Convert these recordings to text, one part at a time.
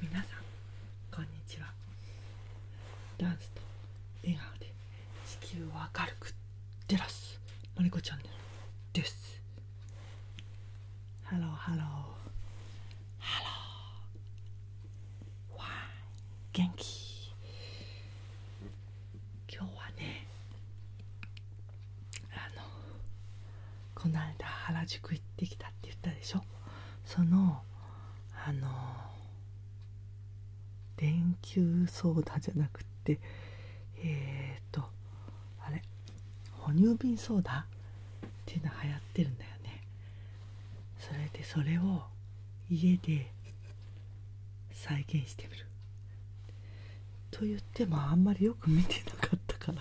皆さんこんにちはダンスと笑顔で地球を明るく照らすのりこチャンネルですハローハローハローわー元気今日はねあのこの間原宿行ってきたって言ったでしょそのあの電球ソーダじゃなくてえっ、とあれ哺乳瓶ソーダっていうのはやってるんだよねそれでそれを家で再現してみると言ってもあんまりよく見てなかったか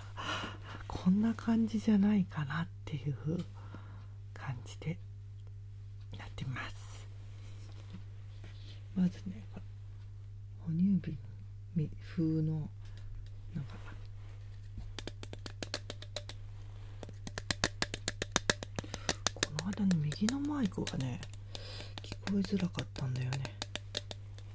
こんな感じじゃないかなっていう感じでなってますまずね哺乳瓶風のこの間の右のマイクがね聞こえづらかったんだよね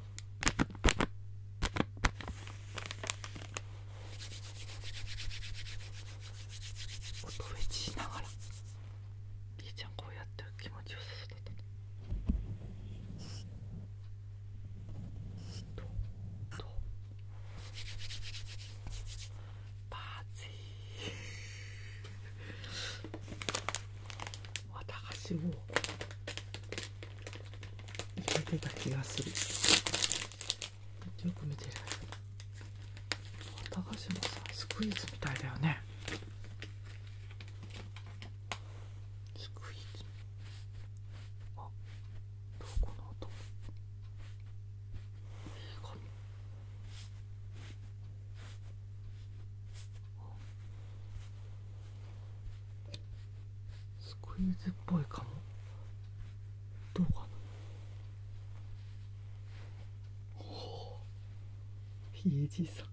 音フェチしながらみーちゃんこうやって気持ちよさそうだったねとパーティー私も入れてた気がするよく見てる綿菓子もさスクイズみたいだよねスクイズあどこの音いごいあすごいーっぽいかもどうかなおひいじいさん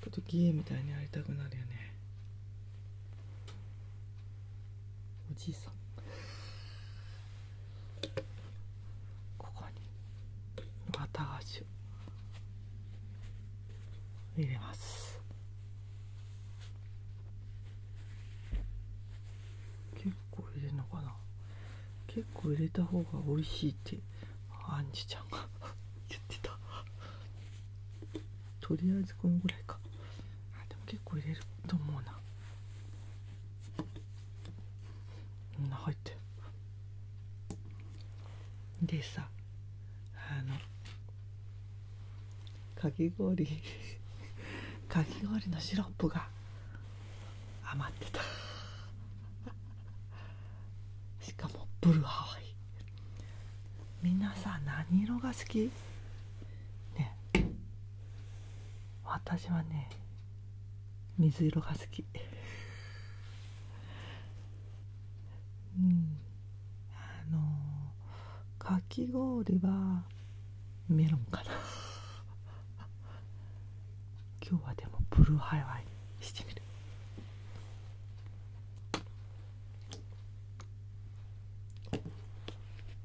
ちょっとゲーみたいにやりたくなるよねおじいさんここに綿菓子を入れます結構入れるのかな結構入れた方が美味しいってアンジちゃんが 言ってたとりあえずこのぐらいかあでも結構入れると思うなみんな入ってる。でさあのかき氷 かき氷のシロップが余ってた しかもブルーハワイみんなさ何色が好きね私はね水色が好きうんあのかき氷はメロンかな 今日はでもブルーハイワイにしてみる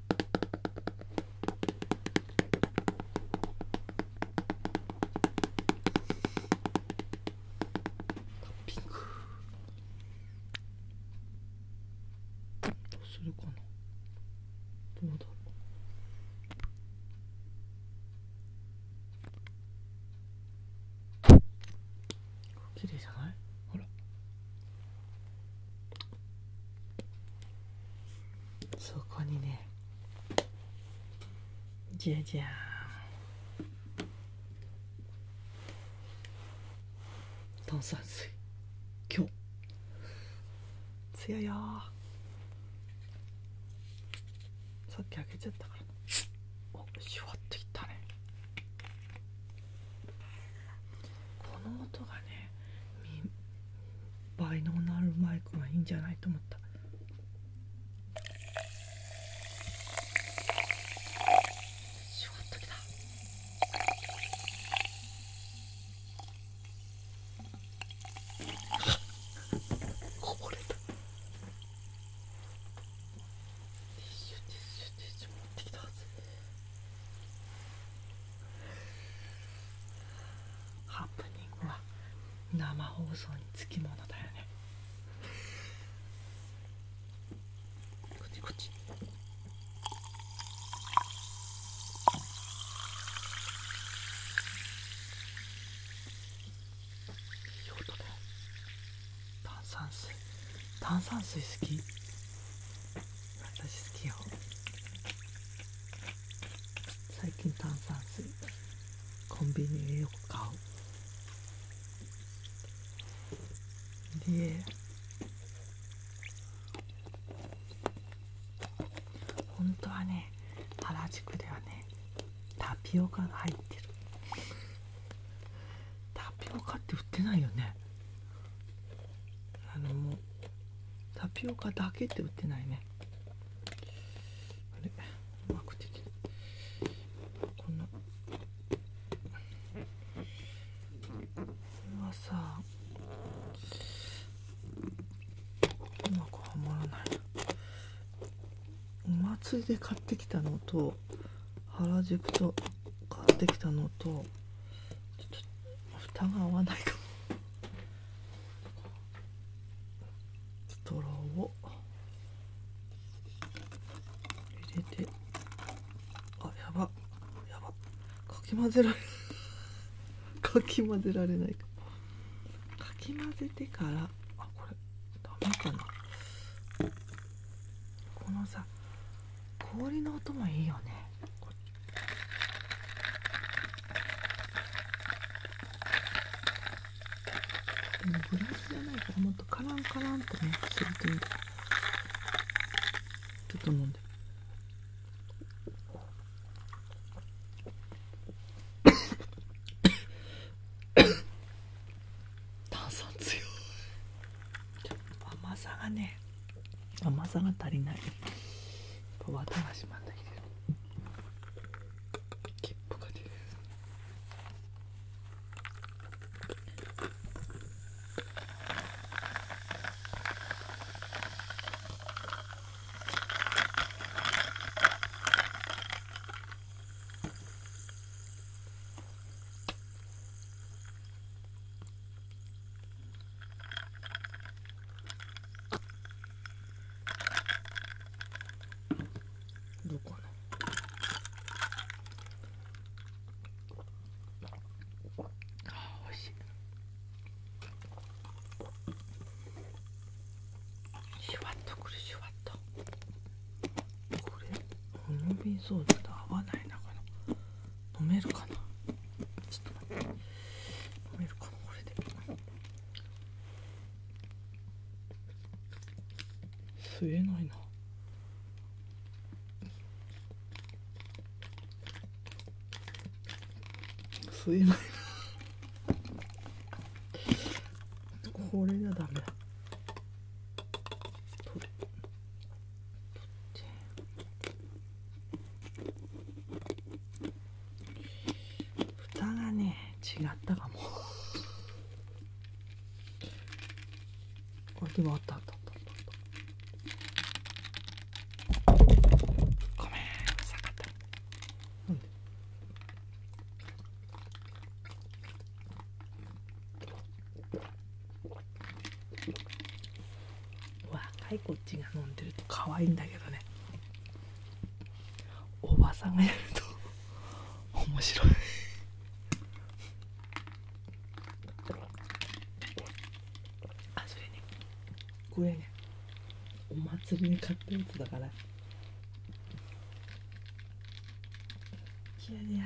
ピンクどうするかなどうだろう綺麗じゃないほらそこにねじゃじゃん炭酸水今日強いよさっき開けちゃったからおシュワッといったねこの音がね倍能のあるマイクはいいんじゃないと思ったシュワッときたこぼれたティッシュティッシュティッシュ持ってきたはずハプニングは生放送につきものだよねこっちこっちいい音だ炭酸水炭酸水好き私好きよ最近炭酸水コンビニでよく買うで本当はね原宿ではねタピオカが入ってるタピオカって売ってないよねあのもうタピオカだけって売ってないねあれうまくできるこのこれはさうまくはまらないお祭りで買ってきたのと原宿と買ってきたのとちょっと蓋が合わないかもストローを入れてあやばやばかき混ぜられ かき混ぜられないかかき混ぜてからあこれダメかなこのさ氷の音もいいよねこっち。でもグラシじゃないからもっとカランカランっとねするというちょっと飲んで 炭酸強い甘さがね甘さが足りないわたがしまってきてる切符が出るどこねあおいしいシュワッとくるシュワッとこれホルビソーダと合わないなこの飲めるかなちょっと待って飲めるかなこれで吸えないな吸えないな。これじゃダメ取って取って蓋がね違ったかもあでもあったあったあったあったごめんうさかったうん若いこっちが飲んでると可愛いんだけどねおばさんがやると 面白いあそれねこれねお祭りにかっこいいやつだからいやいや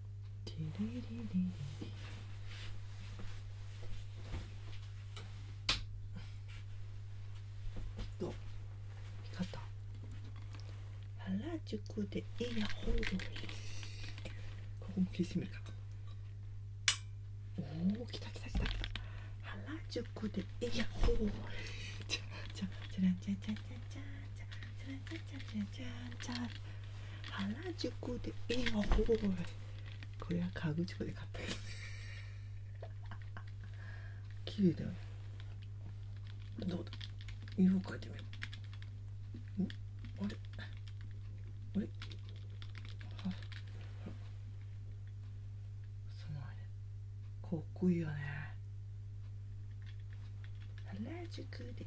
ティリリリリと見方原宿でイヤホンここも消してみるかおお来た来た来た原宿でイヤホンじゃじゃじゃらんじゃじゃじゃじゃじゃじゃじゃじゃじゃじゃ原宿でイヤホンこれは河口湖で買ったやきれいだよどうだ色を変えてみようあれあれあすごいねかっこいいよね原宿で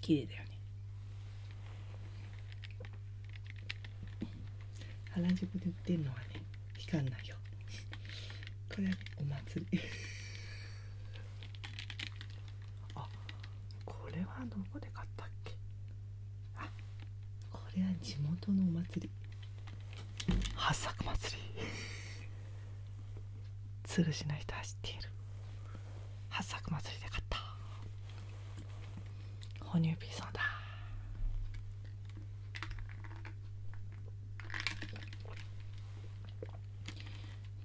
綺麗だよね原宿で売ってるのはね期間ないよ これお祭り あこれはどこで買ったっけあこれは地元のお祭り八作祭りつ るしの人は知っている八作祭りで買った哺乳ピーソだ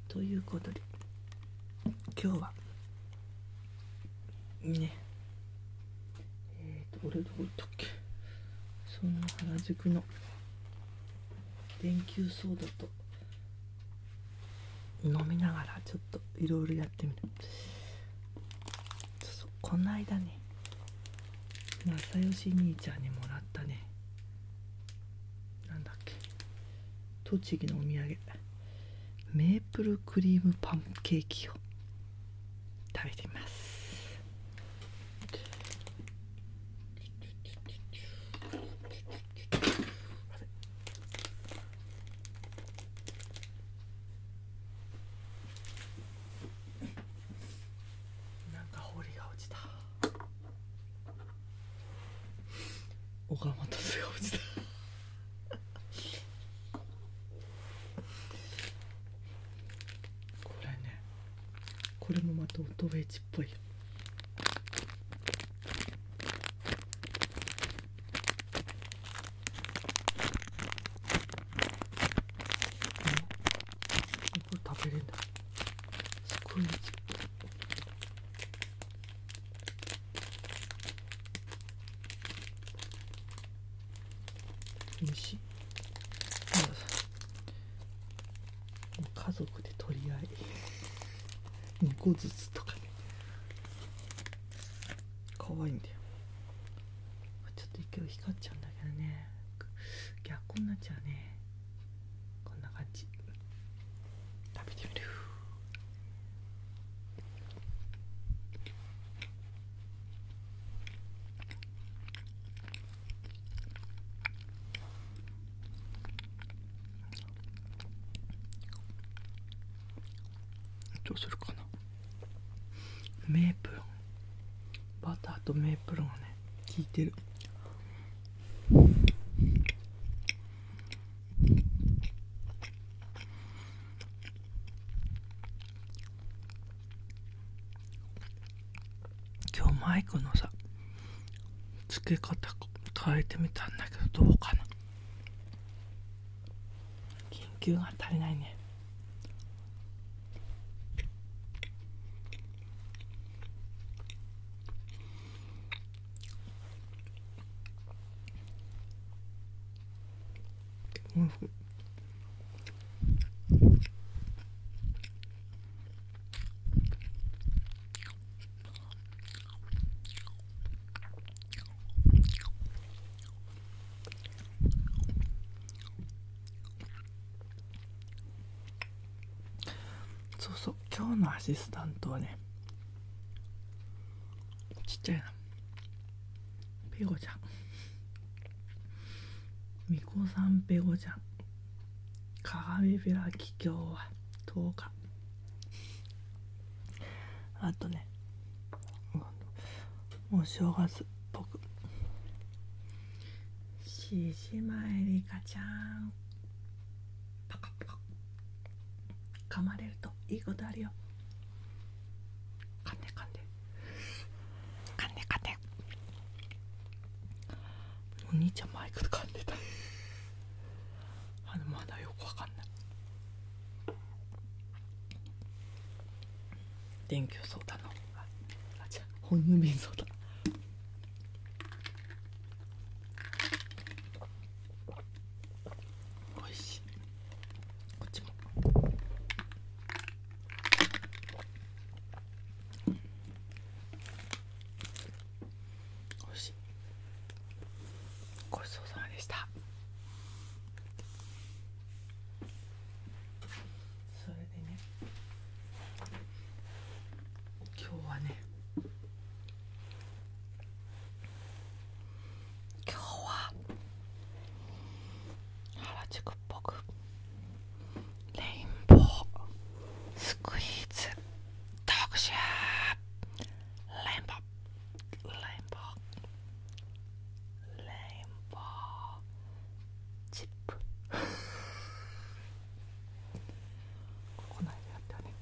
ということで今日はねえっ、と俺どこ行ったっけその原宿の電球ソーダと飲みながらちょっといろいろやってみた。そうそうこの間ね正義兄ちゃんにもらったねなんだっけ栃木のお土産メープルクリームパンケーキを食べてみますなんかホりが落ちた岡本すが落ちたこれねこれもまた音ウェイチっぽいよこれ食べれんだすごいねちっよし家族で取り合い2個ずつとかね可愛いんだよちょっと今日光っちゃうんだけどね逆になっちゃうねこんな感じ食べてみるどうするかなメープルバターとメープルがね効いてる今日マイクのさつけ方変えてみたんだけどどうかな緊急が足りないねおいそうそう今日のアシスタントはねちっちゃいなペコちゃんみこさんペコちゃん鏡開き今日は10日あとねお正月っぽく獅子舞リカちゃんパカパカ噛まれるといいことあるよかんでかんでかんでかんでお兄ちゃんマイクでかんでたあのまだよくわかんない電気球相談のああじゃ本郵便相談おいしいこっちもおいしいごちそうさまでしたそれでね今日はね今日は原宿っぽくレインボースクイーズ特集レインボーレインボーレインボーチップここないやったね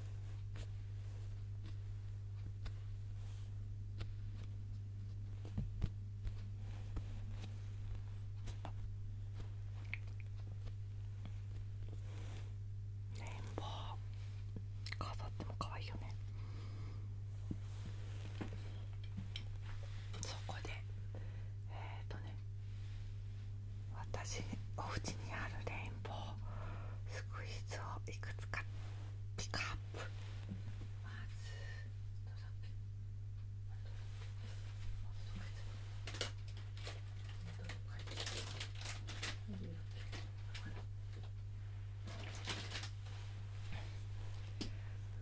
レインボー飾っても可愛いよねそこでえっ、とね私お家にあるレインボースクイーズをいくつかピカ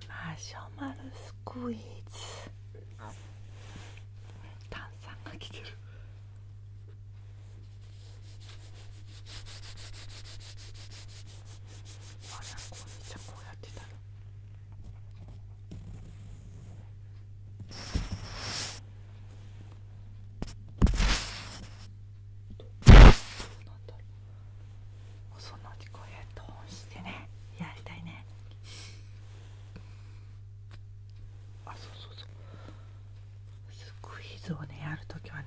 マシュマロスクイーズ炭酸が来てるあなんかちゃこうやってたら。どうなんだろうそのうちこうヘッドホンしてねやりたいねあそうそうそうスクイズをねやるときはね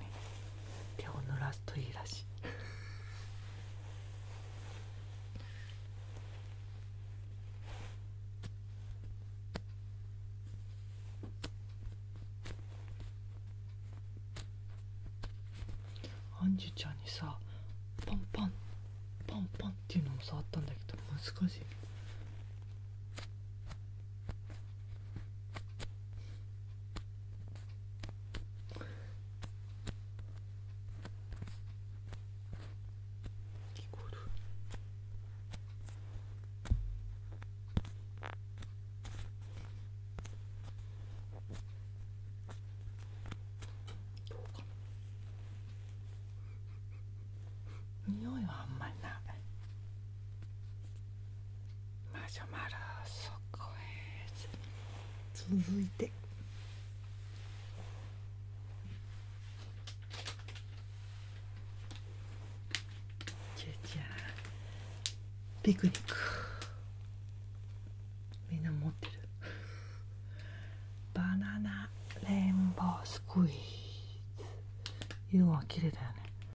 手を濡らすといいらしいアンジュちゃんにさパンパンパンパンっていうのも触ったんだけど難しい。匂いはあんまりないマシュマロそこへ続いてじゃじゃピクニックみんな持ってるバナナレインボースクイーズ色は綺麗だよね